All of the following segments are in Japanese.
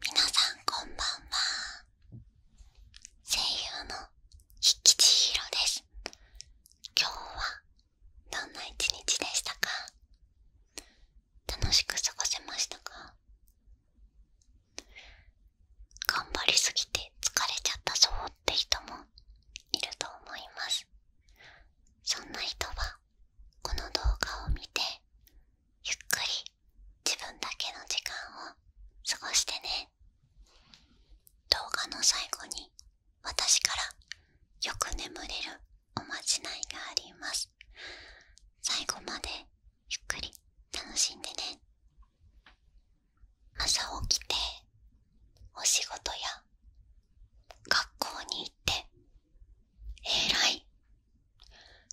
皆さんこんばんは声優のひきちひろです今日はどんな一日でしたか楽しく過ごせましたか頑張りすぎて疲れちゃったぞって人もいると思いますそんな人はこの動画を見てゆっくり自分だけの時間を過ごしてね動画の最後に私からよく眠れるおまじないがあります最後までゆっくり楽しんでね朝起きてお仕事や学校に行って偉い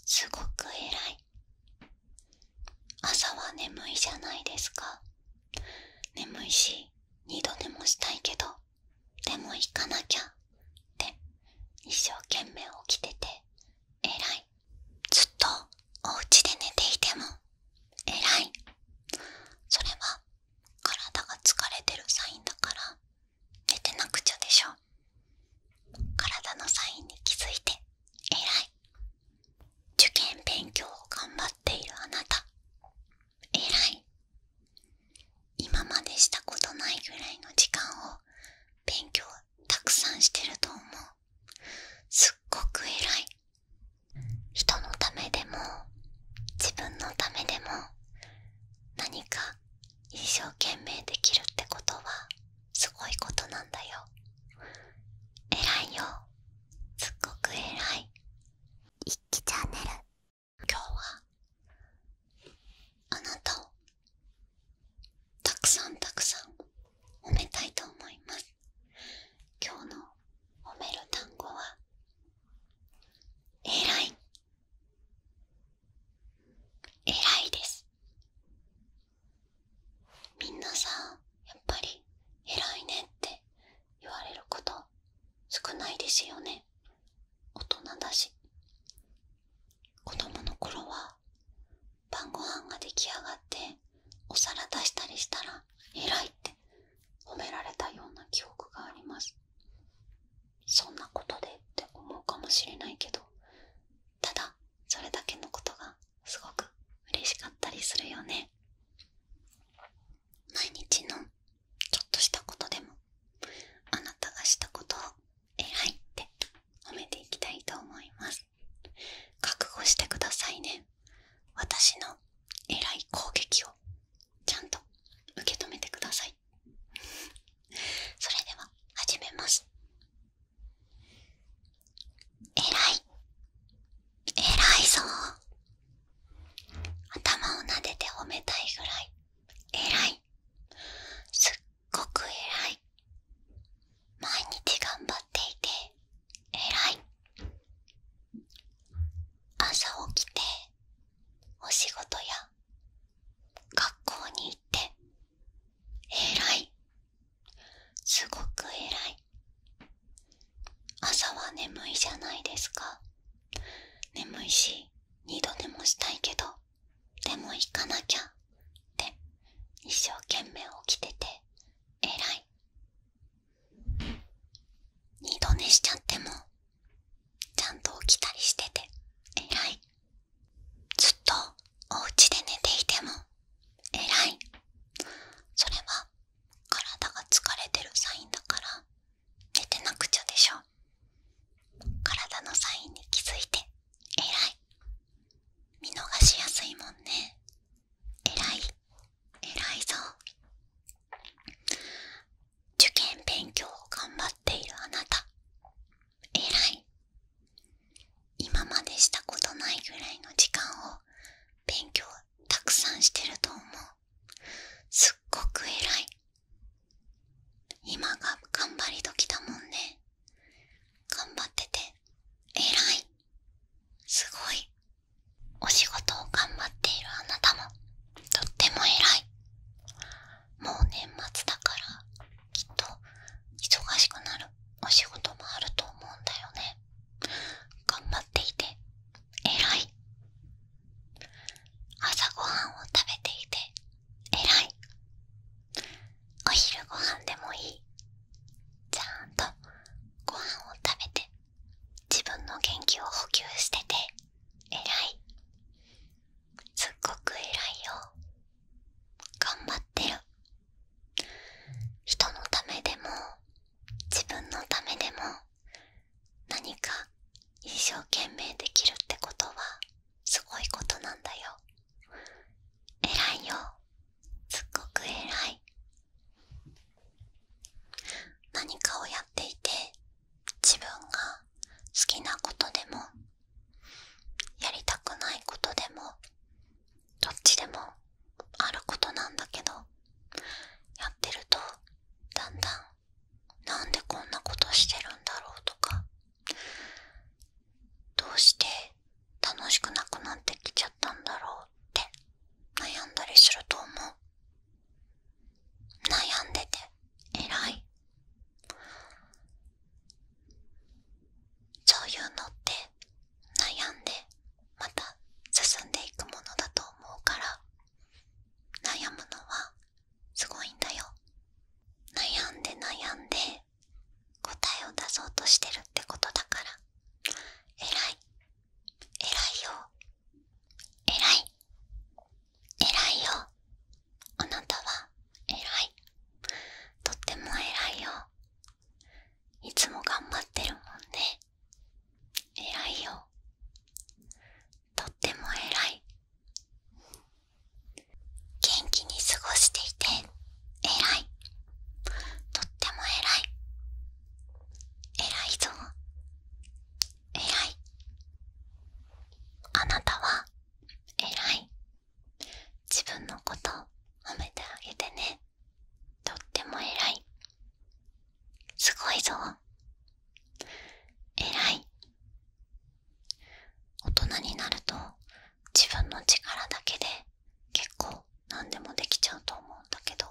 すごく偉い朝は眠いじゃないですか眠いし二度寝もしたいけどでも行かなきゃって一生懸命起きてて偉いずっとお家で寝ていても偉いそれは体が疲れてるサインだから寝てなくちゃでしょ体のサインに気づいて偉い受験勉強を頑張っているあなた偉い今までしたことないぐらいの時間を勉強たくさんしてると思うすっごく偉い人のためでも自分のためでも何か一生懸命できるってことはすごいことなんだよ偉いよすっごく偉い一気チャンネル今日はあなたをたくさんたくさん褒めたいと思います今日の褒める単語は「偉い」偉いですみんなさやっぱり偉いねって言われること少ないですよね大人だし子供の頃は晩ご飯が出来上がってお皿出したりしたら偉いって褒められたような記憶がありますそんなことでって思うかもしれないけどただそれだけのことがすごく嬉しかったりするよね毎日のちょっとしたことでもあなたがしたことをえらいって褒めていきたいと思います覚悟してくださいね私のえらい攻撃をちゃんと受け止めてくださいそれでは始めますえらいえらいぞ頭をなでて褒めたいぐらいえらいすっごくえらい毎日頑張っていてえらい朝起きてお仕事や学校に行って偉いすごく偉い朝は眠いじゃないですか眠いし二度寝もしたいけどでも行かなきゃって一生懸命起きてて偉い二度寝しちゃってもちゃんと起きたりしててえらいずっとおうちで寝ていてもえらいそれは体が疲れてるサインだから寝てなくちゃでしょ体のサインに気づいてえらい見逃しやすいもんねえらいえらいぞ受験勉強を頑張っているあなた偉い今までしたことないぐらいの時間を勉強たくさんしてると思うすっごく偉い今が頑張り時だもんね頑張ってて偉いすごいお仕事を頑張っているあなたもとっても偉いもう年末だからきっと忙しくなるお仕事もあると思うんだよね頑張っていて偉い朝ごはんを食べていて偉いお昼ご飯でもいいちゃんとご飯を食べて自分の元気を補給してて偉いすっごく偉いよ頑張ってる人のためでも自分のためでも何か一生懸命できるってことはすごいことなんだよ偉いよすっごく偉い何かをやっていて自分が好きなことでもやりたくないことでもどっちでもあることなんだけどやってるとだんだんなんでこんなことしてるんだろうとかどうして楽しくなくなってきちゃったんだろうって悩んだりすると思う悩んでて偉いそういうのって悩んでまた進んでいくものだと思うから悩むのはすごいんだよ悩んで悩んで答えを出そうとしてるってことだから偉い偉いよえらいえらいよあなたはえらいとってもえらいよいつもがんばってるもんねらいよとってもえらい元気に過ごしていてえらいとってもえらい偉いぞ偉いあなたは偉い自分のこと褒めてあげてねとっても偉いすごいぞ偉い大人になると自分の力だけで結構何でもできちゃうと思うんだけど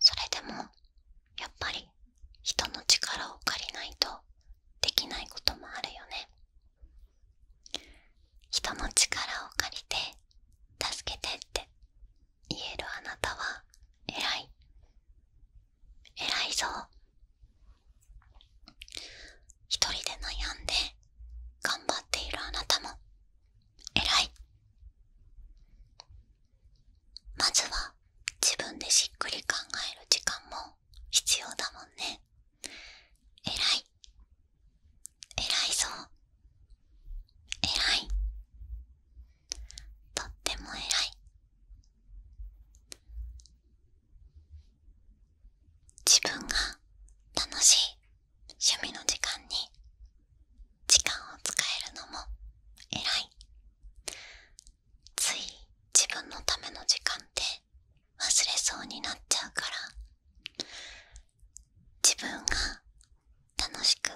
それでもやっぱり人の力を借りないとできないこともあるよね人の力を借りて助けてって言えるあなたは偉い偉いぞ一人で悩んで頑張っているあなたも偉いまずは自分でしっくり考える時間も必要だもんねえらいえらいそう。えらいとってもえらい自分が楽しい趣味の時間に時間を使えるのも偉いつい自分のための時間って忘れそうになっちゃうから自分が楽しく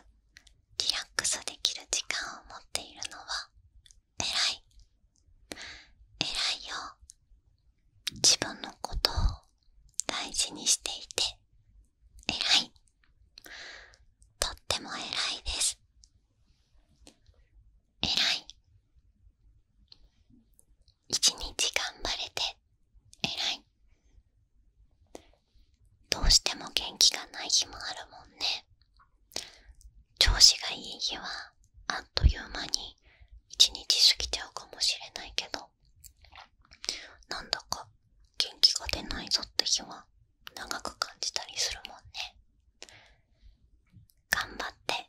リラックスできる時間を持っているのは偉い偉いよ自分のことを大事にしていて偉いとっても偉いです偉い一日頑張れて偉いどうしても元気がない日もあるもんね調子がいい日はあっという間に一日過ぎちゃうかもしれないけどなんだか元気が出ないぞって日は長く感じたりするもんね頑張って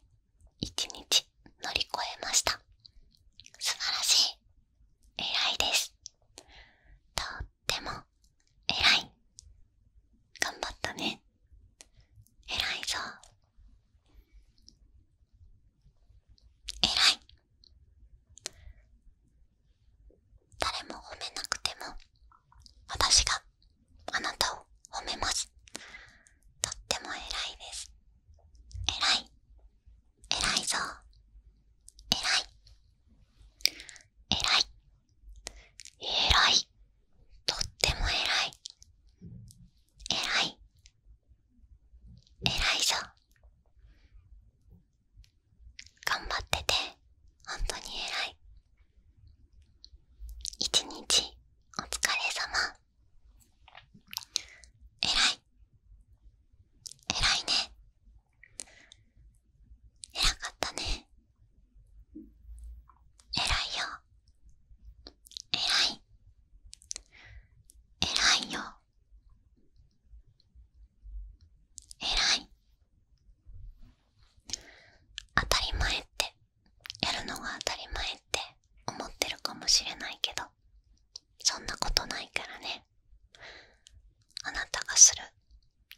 一日乗り越えました素晴らしい偉いですとっても偉い頑張ったね偉いぞえらい誰も褒めなくても私があなたを褒めますとってもえらいですえらいえらいぞえらいえらいえらいとってもえらいえらい偉いぞ。頑張ってて本当に偉い一日お疲れ様偉い偉いね偉かったね偉いよ偉い偉いよ偉い当たり前ってやるのが当たり前って思ってるかもしれないけどそんなことないからねあなたがする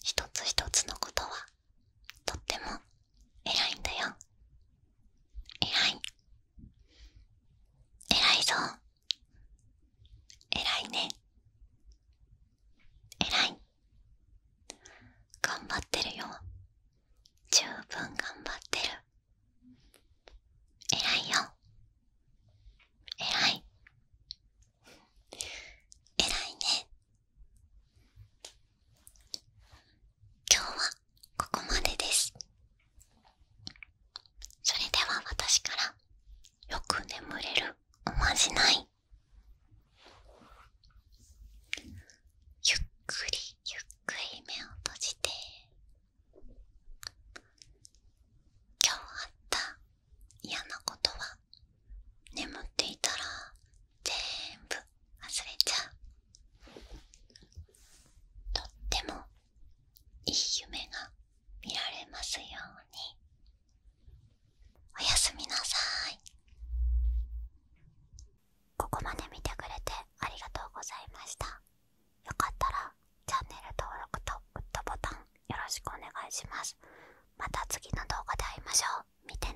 一つ一つのことはとっても偉いんだよ偉い偉いぞ偉いね偉い頑張ってるよ十分頑張ってる偉いよ偉い偉いね今日はここまでですそれでは私からよく眠れるおまじないゆっくりゆっくり目を閉じて今日あった嫌なことは眠っていたら全部忘れちゃうとってもいい夢が見られますようにおやすみなさいここまで見てくれてありがとうございましたよかったらチャンネル登録とグッドボタンよろしくお願いしますまた次の動画で会いましょう見てね